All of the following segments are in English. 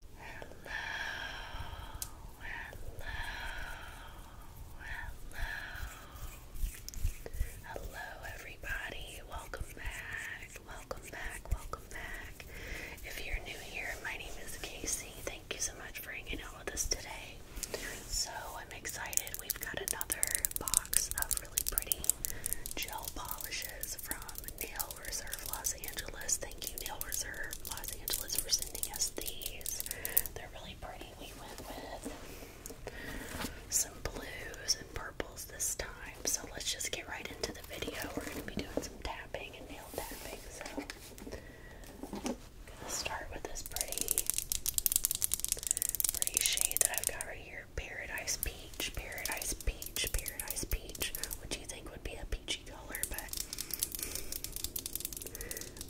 hello, hello, hello, everybody. Welcome back, welcome back, welcome back. If you're new here, my name is Casey. Thank you so much for hanging out with us today. So, I'm excited. We've got another box of really pretty gel polishes from Nail Reserve Los Angeles. Thank you, Nail Reserve Los Angeles, for sending us these. They're really pretty. We went with some blues and purples this time. So let's just get right into the video. We're going to be doing some tapping and nail tapping. So I'm going to start with this pretty, pretty shade that I've got right here. Paradise Peach, Paradise Peach, Paradise Peach. What do you think would be a peachy color, but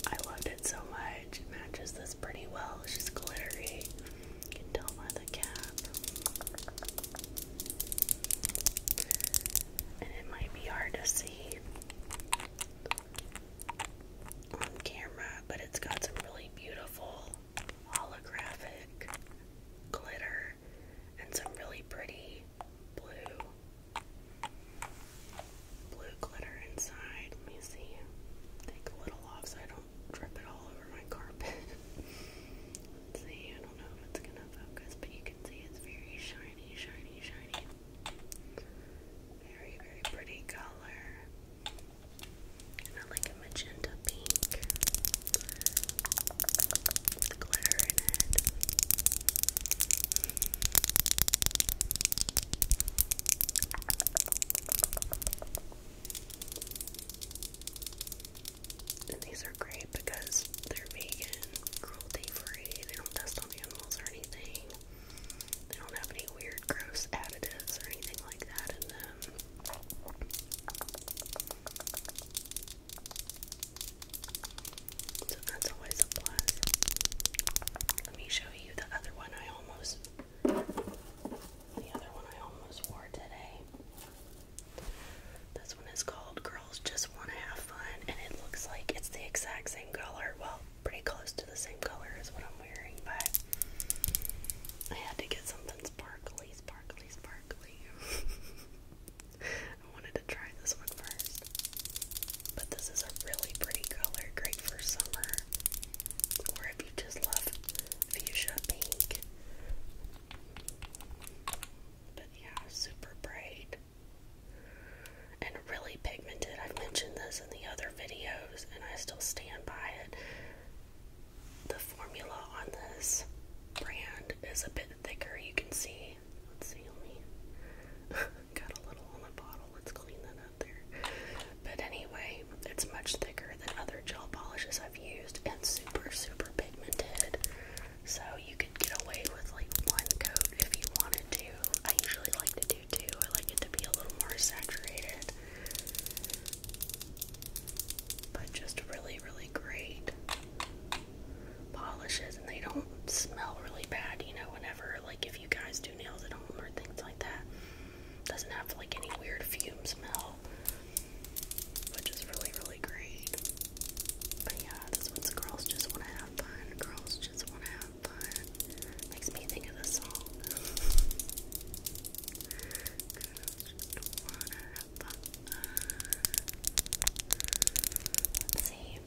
I loved it so much. It matches this pretty well. It's just glittery. You can tell by the cap. And it might be hard to see on camera, but it's got some really beautiful holographic glitter and some really pretty blue blue glitter inside. Let me see. Take a little off so I don't drip it all over my carpet. Let's see, I don't know if it's gonna focus, but you can see it's very shiny, shiny, shiny. Very, very pretty color. And I like a magenta pink. And these are great because they're vegan, cruelty free, they don't test on animals or anything. They don't have any weird, gross additives or anything like that in them. So that's always a plus. Let me show you the other one I almost the other one I almost wore today. This one is called Girls Just Wanna Have Fun and it looks like it's the exact same color. Well, pretty close to the same color as what I'm wearing, but I had to get something sparkly, sparkly, sparkly. I wanted to try this one first. But this is a really pretty color, great for summer. Or if you just love fuchsia pink. But yeah, super bright. And really pigmented. I've mentioned this in the other videos, and I still stand by it. The formula on this brand is a bit thicker, you can see Let's see, got a little on the bottle. Let's clean that up there. But anyway, it's much thicker than other gel polishes I've used and super, super pigmented. So you could get away with like one coat if you wanted to. I usually like to do two. I like it to be a little more saturated. But just really, really great polishes and they don't smell really bad, you know, whenever, like, if you guys do nails at home or things like that. Doesn't have, like, any weird fume smell, which is really, really great. But yeah, this one's Girls Just Wanna Have Fun. Girls Just Wanna Have Fun. Makes me think of the song. just wanna have fun. see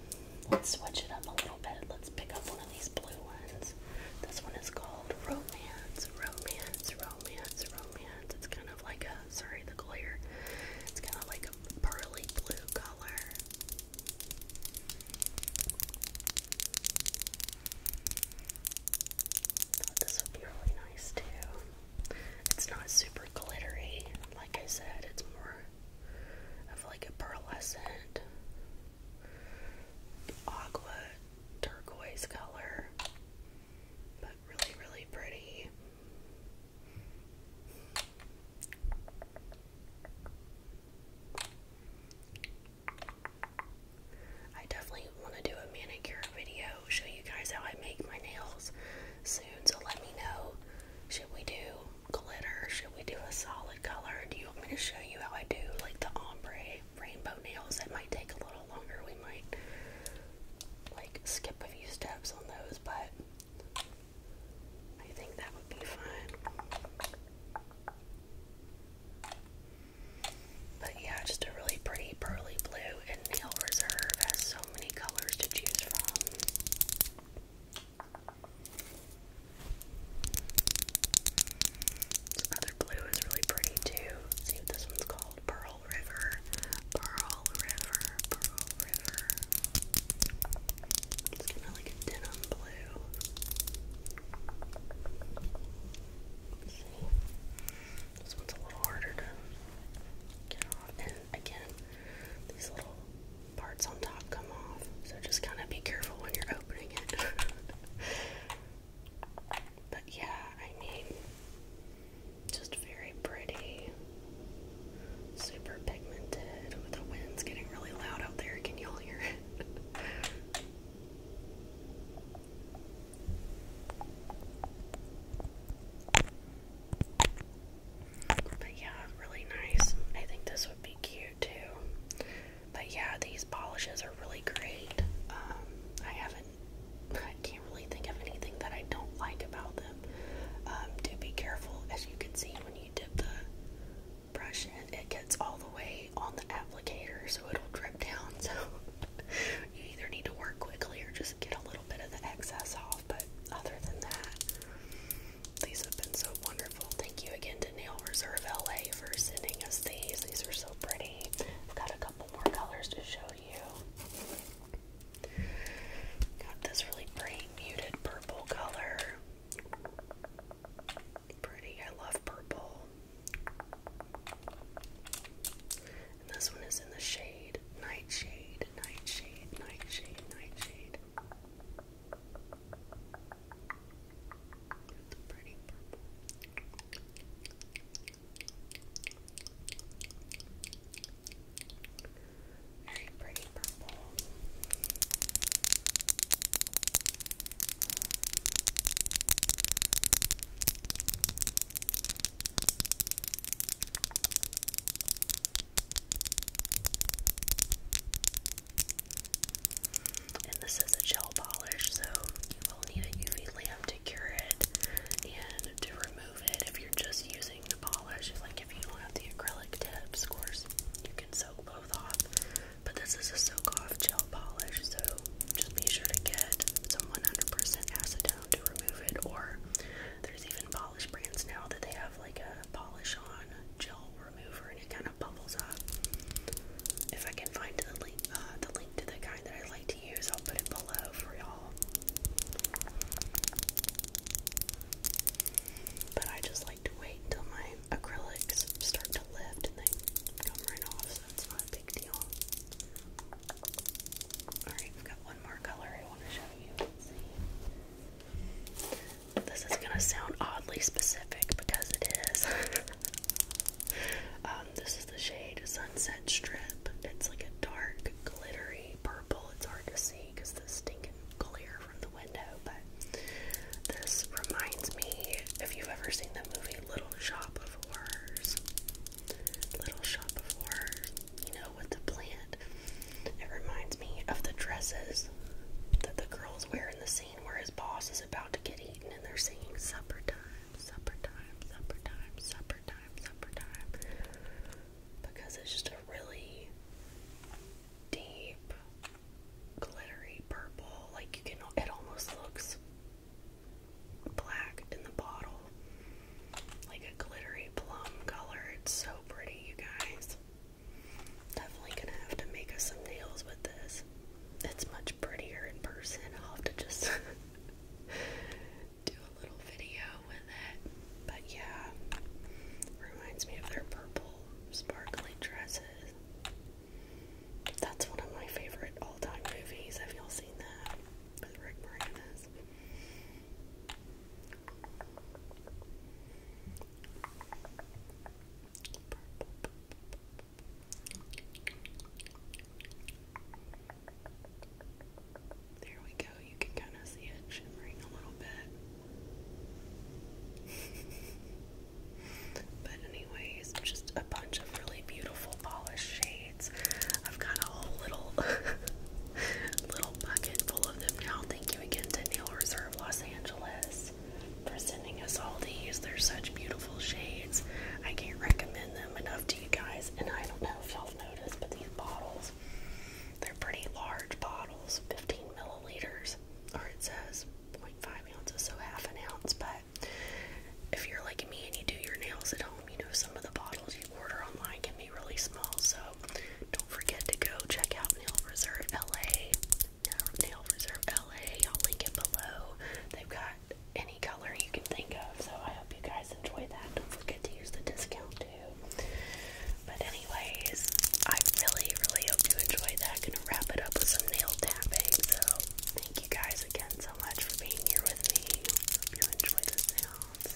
let's switch it up a little bit. Let's pick up one of these blue ones. This one is called Romance, Romance, Romance, Romance. It's kind of like a, sorry, the glare. It's kind of like a pearly blue color. Thought this would be really nice too. It's not super glittery, like I said, it's more of like a pearlescent aqua turquoise color, but really, really pretty. I definitely want to do a manicure video, show you guys how I make my nails soon, so let me know should we do glitter? Should we do a solid color? Do you want me to show you how I do like the ombre rainbow nails? It might take a little longer. We might like skip a few steps on those, but I think that would be fun. But yeah, just a really pretty pearly blue, and Nail Reserve has so many colors to choose from. This other blue is really pretty too. Let's see what this one's called. Pearl River. Pearl River. Pearl River. It's kind of like a denim blue. Let's see. This one's a little harder to get off. And again, these little parts on top come off. So just kind of be careful when you're opening it. but yeah, I mean, just very pretty, super pigmented. The wind's getting really loud out there. Can y'all hear it? But yeah, really nice. I think this would be cute too. But yeah, these polishes are really great. Um, I haven't, I can't really think of anything that I don't like about them. To um, be careful, as you can see when you dip the brush in, it gets all the way on the applicator, so it'll drip down. So you either need to work quickly or just get a little bit of the excess off. But other than that, these have been so wonderful. Thank you again to Nail Reserve LA for sending us these. These are so pretty. I've got a couple more colors to show you. Got this really pretty muted purple color. Pretty. I love purple. this one is in the shade Nightshade, Nightshade, Nightshade, Nightshade. With a pretty purple. Very pretty purple. Very and this is a gel polish, so you will need a UV lamp to cure it and to remove it if you're just using the polish. Like if you don't have the acrylic tips, of course, you can soak both off. But this is a soak off gel polish, so just be sure to get some 100% acetone to remove it, or there's even brands now that they have like a polish on gel remover and it kind of bubbles up. If I can find the link, uh, the link to the kind that I like to use, I'll put it below for y'all. But I just like to wait until my acrylics start to lift and they come right off, so it's not a big deal. Alright, I've got one more color I want to show you. This is gonna sound oddly specific because it is. Um, this is the shade Sunset Strip. It's like a dark, glittery purple. It's hard to see because the stinking glare from the window, but this reminds me if you've ever seen the movie Little Shop of Horrors. Little Shop of Horrors. You know, with the plant. It reminds me of the dresses that the girls wear in the scene where his boss is about to get eaten and they're singing supper time, supper time, supper time, supper time, supper time. Supper time. Because it's just a really deep glittery purple, like you can it almost looks black in the bottle. Like a glittery plum color. It's so pretty, you guys. Definitely gonna have to make us some nails with this. It's much prettier in person. I'll have to just do a little video with it. But yeah, reminds me of their purple sparkly dresses. That's one of my favorite all-time movies. Have y'all seen that? With Rick Moranis. There we go. You can kind of see it shimmering a little bit. but anyways, just a bunch of really beautiful polished shades. I've got a little little whole bucket full of them now. Thank you again to Nail Reserve Los Angeles for sending us all these. They're such beautiful shades. I can't recommend them enough to you guys. And I don't know if y'all noticed, but these bottles, they're pretty large bottles 15 milliliters, or it says 0.5 ounces, so half an ounce. But if you're like me and you do your nails at home, you know some of the bottles you order online can be really small. So don't forget to go check out Nail Reserve LA. Nail Reserve LA. I'll link it below. They've got any color you can think of, so I hope you guys enjoy that. Don't forget to use the discount too. But anyways, I really, really hope you enjoy that. Gonna wrap it up with some nail tapping. So thank you guys again so much for being here with me. Hope you enjoy the sounds.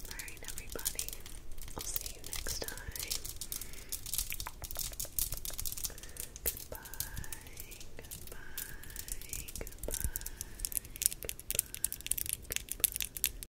Alright, everybody, I'll see you next time. Goodbye, goodbye, goodbye, goodbye,